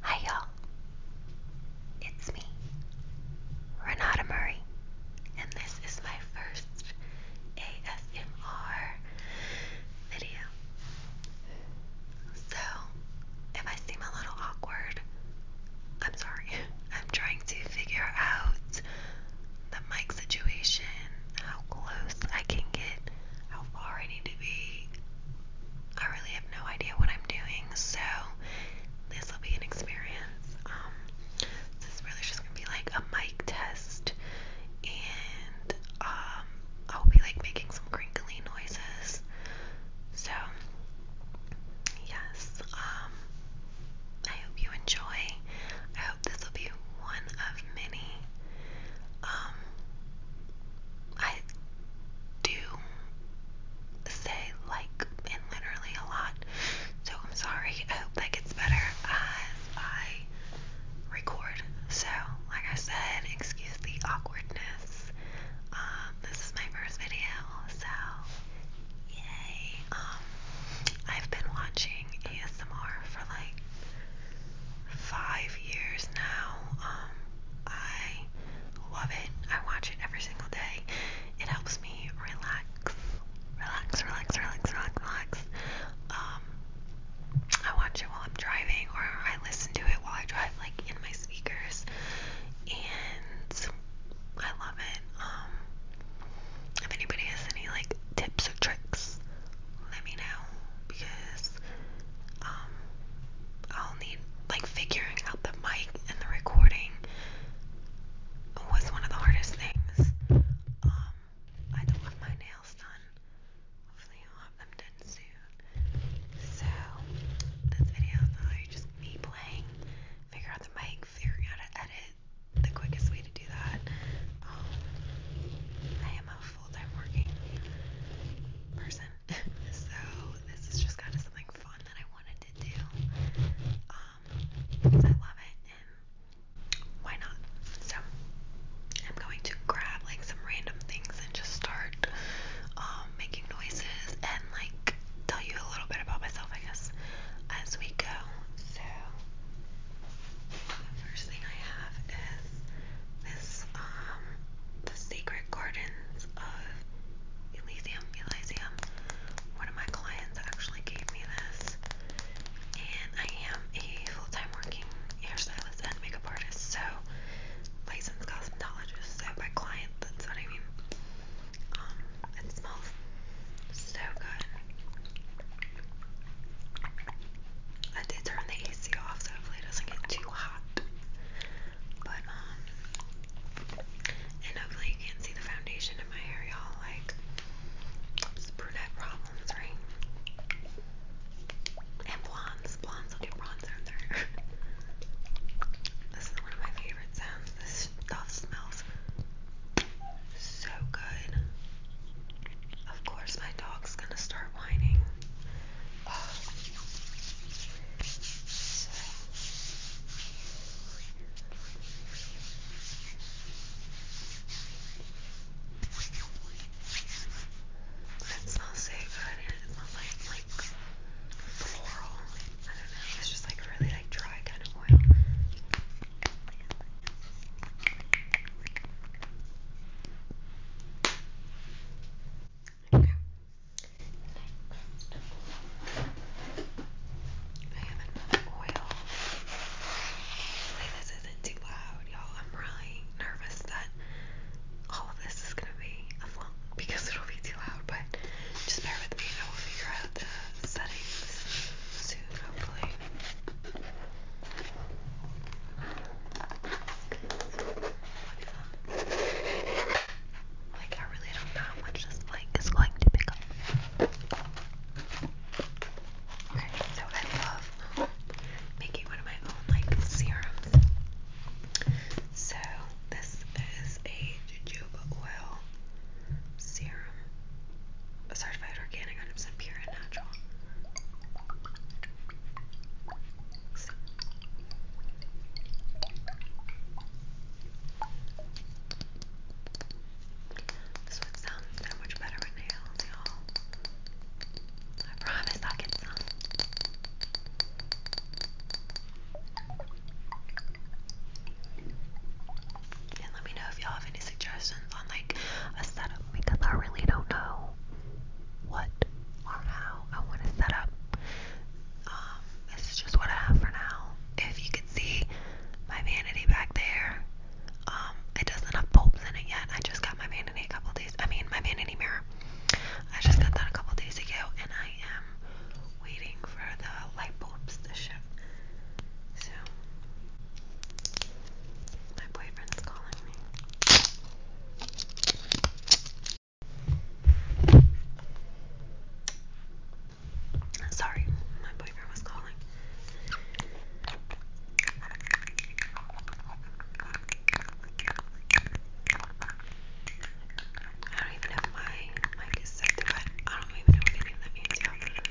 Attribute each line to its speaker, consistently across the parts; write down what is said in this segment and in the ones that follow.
Speaker 1: Hi, you It's me, Renata Murray, and this is my first ASMR video. So, if I seem a little awkward, I'm sorry. I'm trying to figure out the mic situation, how close I can get, how far I need to be. I really have no idea what I'm doing, so this will be an experience. Um, this is really just gonna be like a mic test, and um, I'll be like making some crinkly noises. So, yes, um, I hope you enjoy. I hope this will be one of many. Um, I do say like and literally a lot, so I'm sorry. I hope that gets better as I record. So, like I said, excuse the awkwardness. Um, this is my first video, so yay. Um, I've been watching ASMR for like five years now. Um, I love it. I watch it every single day. It helps me relax, relax, relax, relax, relax, relax. Um, I watch it while I'm driving, or I listen to it while I drive, like in my speakers, and I love it. Um, if anybody has any like tips or tricks, let me know because um, I'll need like figuring out the mic and the recording was one of the hardest things. Um, I don't have my nails done. Hopefully I'll have them done soon. So this video is literally just me playing, figure out the mic, figuring out to edit, the quickest way to do that. Um, I am a full-time working person, so this is just kind of something fun that I wanted to do. Um, I love it, and why not? So I'm going to grab like some random things and just start um, making noises and like tell you a little bit about myself, I guess, as we go. So. The first thing I have is this um the Secret Gardens of Elysium Elysium. One of my clients actually gave me this. And I am a full-time working hairstylist and makeup artist, so licensed cosmetologist. So by client, what I mean. Um, it smells so good. I did turn the AC off so hopefully it doesn't get too hot. But um and hopefully you can't see the foundation in my hair, y'all. Like it's brunette problems, right? And blondes. Blondes will do bronzer in there. this is one of my favorite sounds. This stuff smells so good. Of course, my dog's gonna start whining. Oh. So. It smells so good, and it smells like like floral. I don't know. It's just like really like dry kind of oil. Okay. Next, I have another oil. Hopefully, this isn't too loud, y'all. I'm really nervous that all of this is gonna be a long because it'll be too loud, but just bear with me. I will figure out the settings soon, hopefully. Like, I really don't know how much this mic is going to pick up. Okay, so I love making one of my own, like, serums. So, this is a jojoba oil serum certified organic, 100% pure and natural. So. This would um, sound so much better with nails, y'all. I promise I'll get some. And let me know if y'all have any suggestions on like a setup because I really don't know what or how I want to set up. Um, this is just what I have for now. If you can see my vanity back there, um, it doesn't have bulbs in it yet. I just got my vanity a couple days. I mean, my vanity mirror. I just got that a couple days ago, and I am waiting for the light bulbs to ship. So, my boyfriend is calling me. Sorry, my boyfriend was calling. I don't even know my mic is set to I don't even know what anything means, you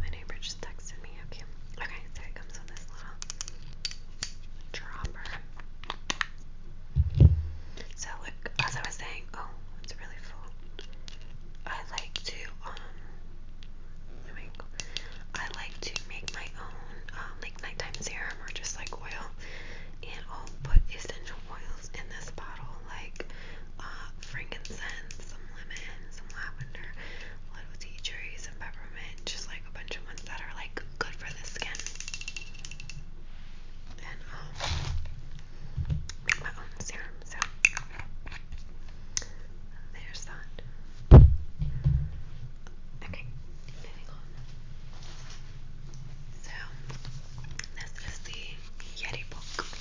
Speaker 1: My neighbor just texted me. Okay. Okay, so it comes with this little dropper. So look, as I was saying, oh, it's really full. I like to um I like to make my own um, like nighttime serum or just like oil and I'll put essential oils oils in this bottle, like uh, frankincense, some lemon, some lavender, a little tea tree, some peppermint, just like a bunch of ones that are like good for the skin. And um, make my own serum. So there's that. Okay, moving on. So, this is the Yeti book. Um,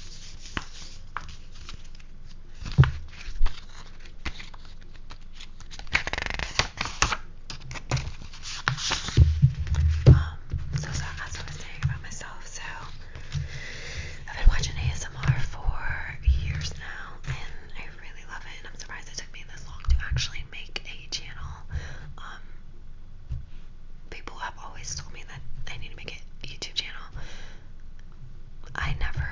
Speaker 1: so, so as I was saying about myself, so I've been watching ASMR for years now, and I really love it. And I'm surprised it took me this long to actually make a channel. Um, people have always told me that I need to make a YouTube channel. I never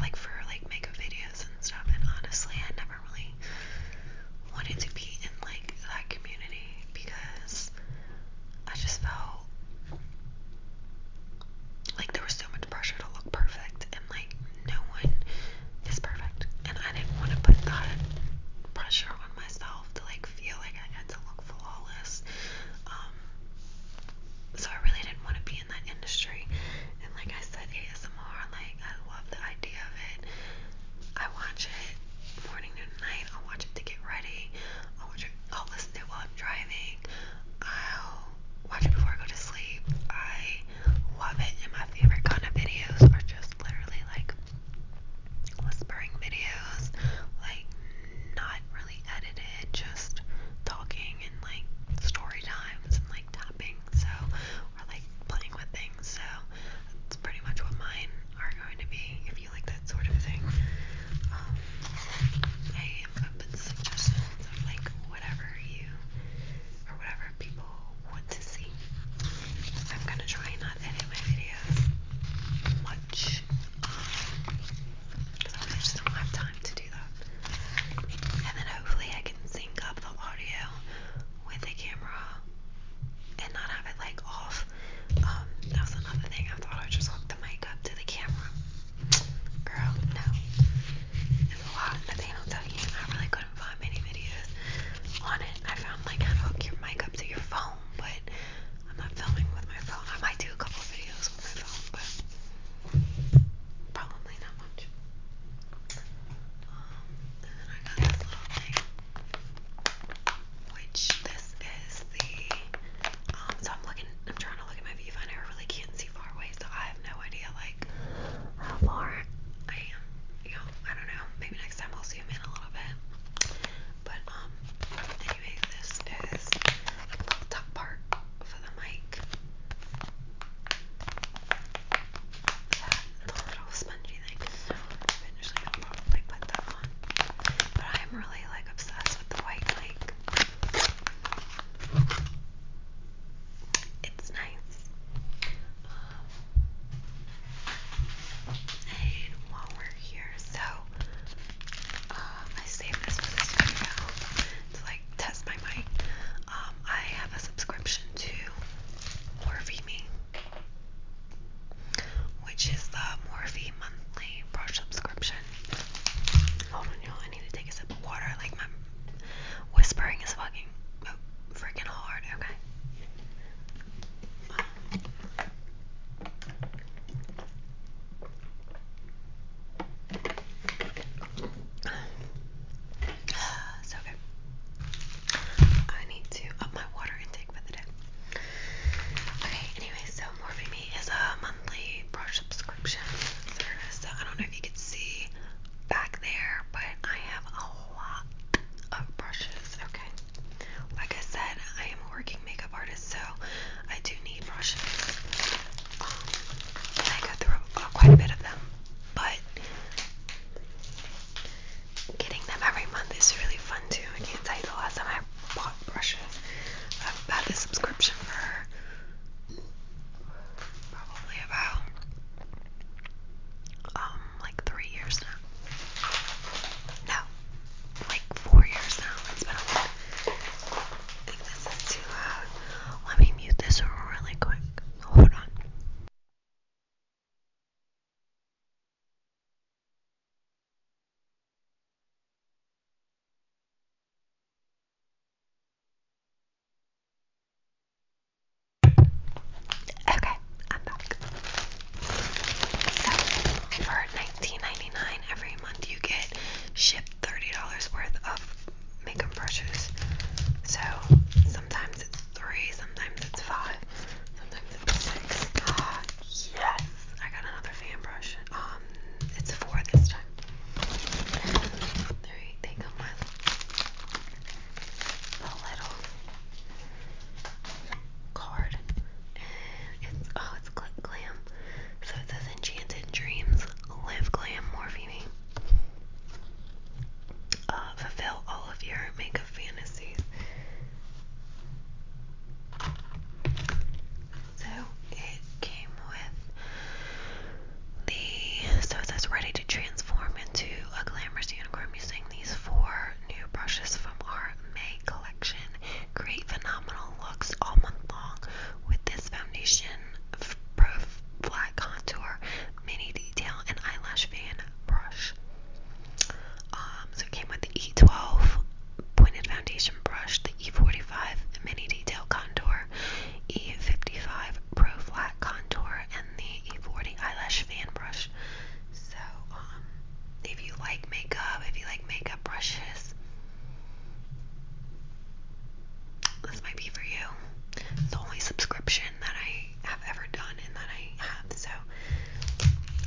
Speaker 1: like for like makeup videos and stuff and honestly I never really wanted to be in like that community because I just felt like there was so much pressure to look perfect and like no one is perfect and I didn't want to put that pressure on myself to like feel like I had to look flawless. Um, so I really didn't want to be in that industry. And like I said, ASMR, like I love the idea of it. I watch it morning, noon, night. i watch it to get ready. i watch it. i listen to it while I'm driving. i watch it before I go to sleep. I love it, and my favorite kind of videos are just literally like whispering videos, like not really edited, just talking and like story times and like tapping, so or like playing with things. So that's pretty much what mine are going to be if you like that sort of thing. Um, I am open to suggestions of like whatever you or whatever people want to see I'm gonna try not to edit my videos much because um, I just don't have time to do that. And then hopefully I can sync up the audio with the camera and not have it like off. Um, that was another thing. I thought I just hooked the mic up to the camera. Girl, no. It's a lot. The thing I'll tell you, I really couldn't find many videos on it. I found like how to hook your mic up to your phone but I'm not filming with my phone. I might do a couple of videos with my phone, but probably not much. Um, I got this little thing, which this is the. Um, so I'm looking. I'm trying to look at my viewfinder. I really can't see far away, so I have no idea like how far I am. You know, I don't know. Maybe next time I'll zoom in a little bit. But um anyway, this is the little top part for the mic. That little spongy thing. So eventually I'll probably put that on. But I'm really like obsessed with the white mic. It's nice. Um, and while we're here, so um, I saved this for this video to like test my mic. Um, I have a subscription to Morphe which is the Morphe monthly brush subscription. Hold on, y'all. I need to take a sip of water. Like my whispering is fucking oh, freaking hard. Okay. So good. I need to up my water intake for the day. Okay, anyway, so Morphe is a monthly brush subscription service. I don't know if you can see back there, but I have a lot of brushes. Okay. Like I said, I am a working makeup artist, so I do need brushes. Um, I go through quite a bit of them, but getting them every month is really fun too. I can't tell you the last time I bought brushes. I've had this subscription for probably about um, like three years now. No, like four years now. It's been I think this is too loud. Let me mute this really quick. Hold on. Okay, for 19 every month, you get shipped $30 worth of makeup brushes. So, sometimes it's three, sometimes it's five, sometimes it's six. Ah, yes! I got another fan brush. Um, it's four this time. They come with a little card. And it's oh it's Click Glam. So it says Enchanted Dreams, Live Glam Morphine. Uh, fulfill all of your makeup fantasies. So it came with the so it says ready to transform into a glamorous unicorn using these four new brushes from our May collection. Create phenomenal looks all month long with this foundation, pro flat contour, mini detail, and eyelash fan brush. Um, so it came with the E12 pointed foundation brush, the E45 mini detail contour, E55 pro flat contour, and the E40 eyelash fan brush. So, um, if you like makeup, if you like makeup brushes, this might be for you. It's the only subscription that I have ever done and that I have, so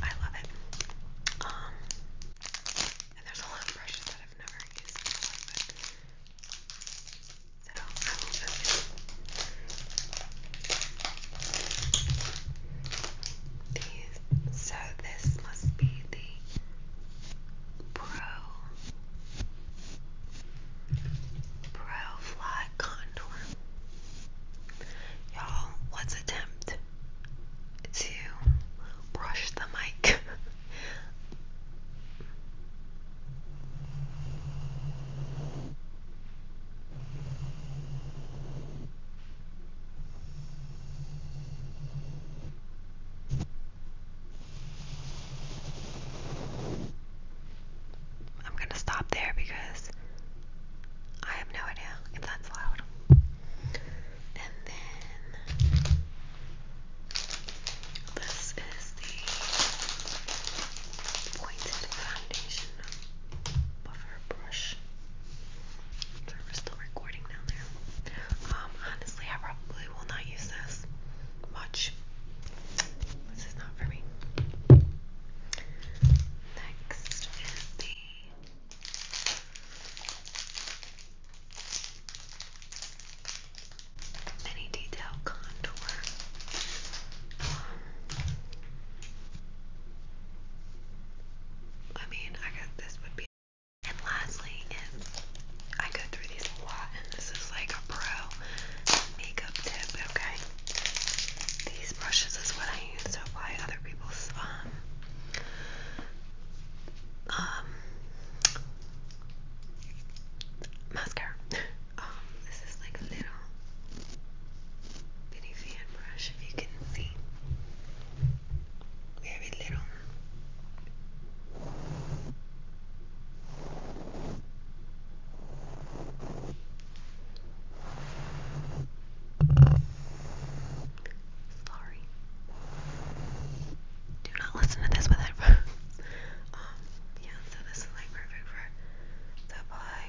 Speaker 1: I love it. Um, and there's a lot of brushes that I've never used before, so I will These so this must be the Pro Pro Fly Contour. Y'all, let's attempt to brush the mic. I'm going to stop there because I have no idea if that's loud. And then this is the pointed foundation buffer brush. Sorry, we're still recording down there. Um, honestly, I probably will not use this much. This is not for me. Next is the mini detail contour. I mean, I guess this would be. And lastly, is I go through these a lot, and this is like a pro makeup tip. Okay, these brushes is what I use to apply other people's um um mascara. um, this is like a little bitty fan brush, if you can see very little. Sorry. Do not listen to this with headphones. Um, yeah, so this is like perfect for the apply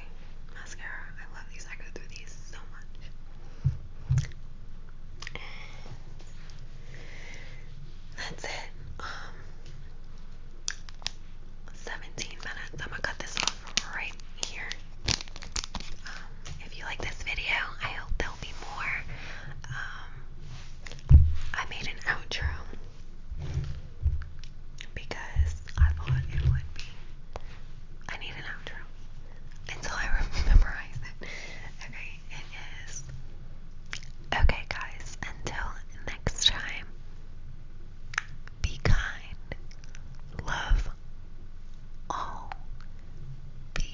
Speaker 1: mascara. I love these. I go through these so much. And that's it. Um, 17 minutes. I'm gonna cut this off right here. Um, if you like this video, I hope there'll be more. Um, I made an outro because I thought it would be. I need an outro until I memorize it. Okay, it is. Okay, guys, until next time, be kind, love all, be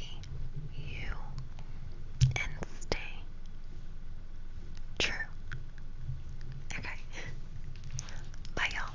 Speaker 1: you, and stay true. Okay, bye, y'all.